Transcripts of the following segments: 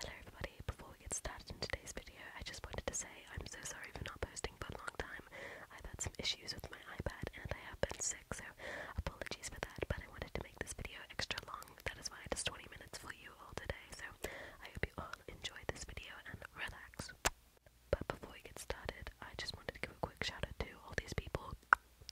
Hello everybody, before we get started in today's video, I just wanted to say I'm so sorry for not posting for a long time. I've had some issues with my iPad and I have been sick, so apologies for that, but I wanted to make this video extra long. That is why it is 20 minutes for you all today, so I hope you all enjoy this video and relax. But before we get started, I just wanted to give a quick shout out to all these people.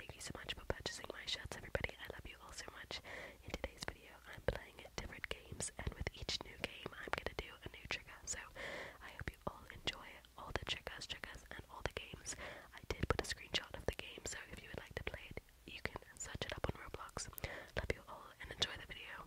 Thank you so much for purchasing my shirts, everybody. I love you all so much. In today's video, I'm playing different games, and with each new game, I'm gonna do a new trigger. So I hope you all enjoy all the triggers, triggers, and all the games. I did put a screenshot of the game, so if you would like to play it, you can search it up on Roblox. Love you all and enjoy the video.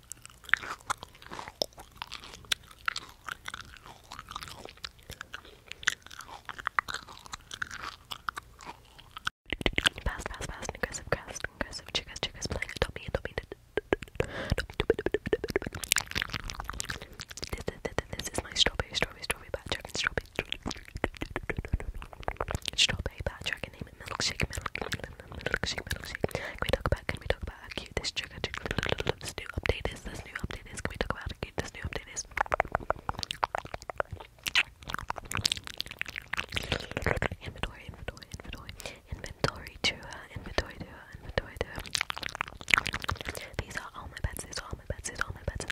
Pass, pass, pass, an aggressive grasp, an aggressive chickas, chickas, playing a dummy, a dummy, this is my strawberry, strawberry, strawberry, backtrack, and strawberry, strawberry, backtrack, and name it milkshake, milk, milk, galaxy, galaxy. Can this new update is, this new update this new update is? Inventory, inventory, inventory, inventory to her, inventory to her, inventory to her. These are all my pets, these are all my pets, these are all my pets.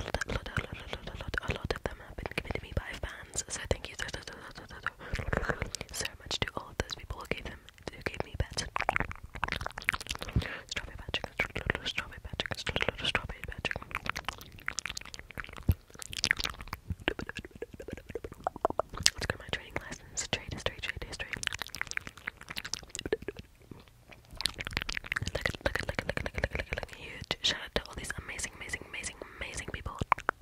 a lot, a lot, a lot, a lot of them have been given to me by fans. So thank you so, so, so, so, so, so much to all of those people who gave them who gave me pets. Strawberry Patrick, Strawberry Patrick, Strawberry Patrick. let my trading lessons. Trade history, trade history. Look at, look at, look at, look at, look at, look at, look at, huge shout out to all these amazing, amazing, amazing, amazing people.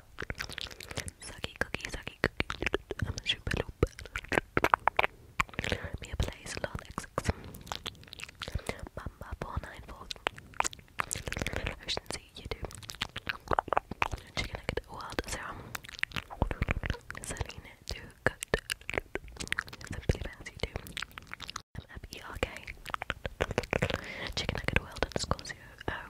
Sucky cookie, sucky cookie. I'm a super loop. Mia plays Lord XX. Mamba494. Ocean Sea, YouTube. Chicken Nugget World Serum. Selena, do good. Simply Bounce, YouTube. MFERK. Chicken Nugget World underscore zero. Oh.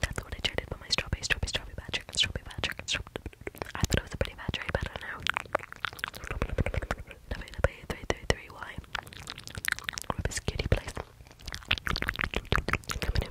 that's what I traded for my strawberry, strawberry, strawberry patch, strawberry patch, I thought it was a pretty patch, right? But I know. Three, three, three, why? Rubber's kitty place. Three, three, three,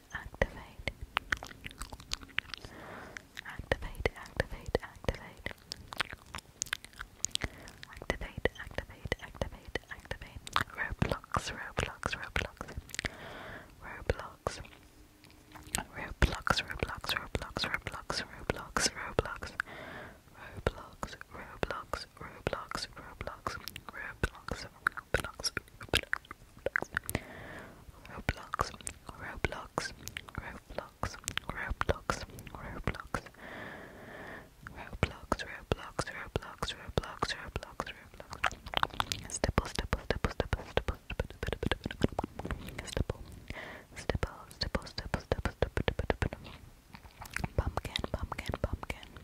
activate, activate, activate, activate, activate, activate, activate, activate, Roblox, Roblox, Roblox, Roblox, Roblox, Roblox, Roblox, Roblox, Roblox, Roblox. Roblox, Roblox, Roblox, Roblox, Roblox, Roblox, Roblox, Roblox, Roblox, Roblox, Roblox, Roblox, Roblox, Roblox, Roblox. Stipple, stipple, stipple, stipple, stipple, stipple, stipple, stipple, stipple, stipple, stipple, pumpkin, pumpkin, pumpkin,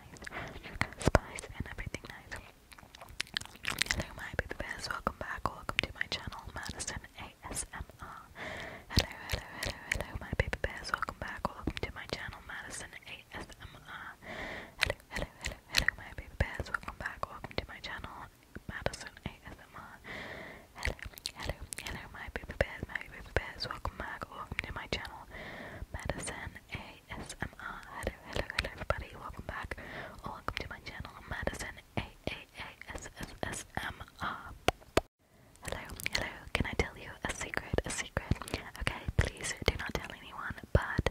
nice, spice Hello my baby bears, welcome back, welcome to my channel, Madison ASMR. Hello, hello, hello, hello my baby bears, welcome back, welcome to my channel, Madison ASMR. Hello, hello, hello, hello my baby bears, welcome back, welcome to my channel, Madison ASMR. Hello, hello, hello my baby bears, my baby bears, welcome back, welcome to my channel, Medicine ASMR. Hello, hello, everybody. Welcome back. welcome to my channel, Medicine AAASSSMR. Hello, hello. Can I tell you a secret? A secret? Okay, please do not tell anyone, but.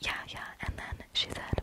Yeah, yeah, and then she said,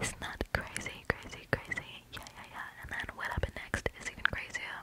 Isn't crazy, crazy, crazy? Yeah, yeah, yeah. And then what happened next is even crazier.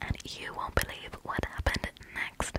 And you won't believe what happened next.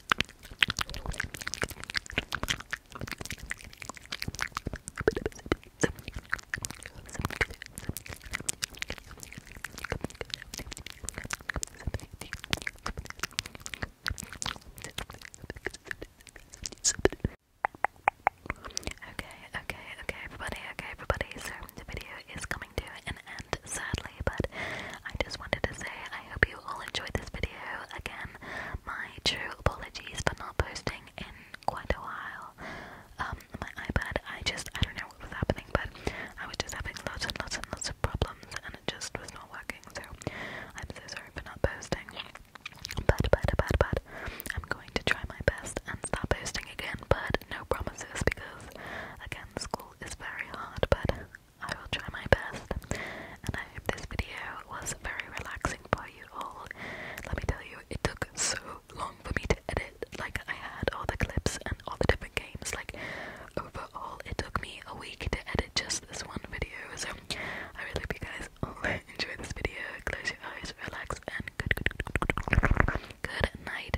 Okay, okay, okay, everybody, okay, everybody. So the video is coming to an sadly, but I just wanted to say I hope you all enjoyed this video. Again, my true apologies for not posting in quite a while. Um, my iPad, I just, I don't know what was happening, but I was just having lots and lots and lots of problems, and it just was not working, so I'm so sorry for not posting. But, but, but, but, I'm going to try my best and stop posting again, but no promises because, again, school is very hard, but I will try my best, and I hope this video was very relaxing for you all. Let me tell you, it took so long for me to edit. Like, I had all the clips and all the different games. Like, overall, it took me a week to edit just this one video. So, I really hope you guys all enjoy this video. Close your eyes, relax, and good, good, good, night.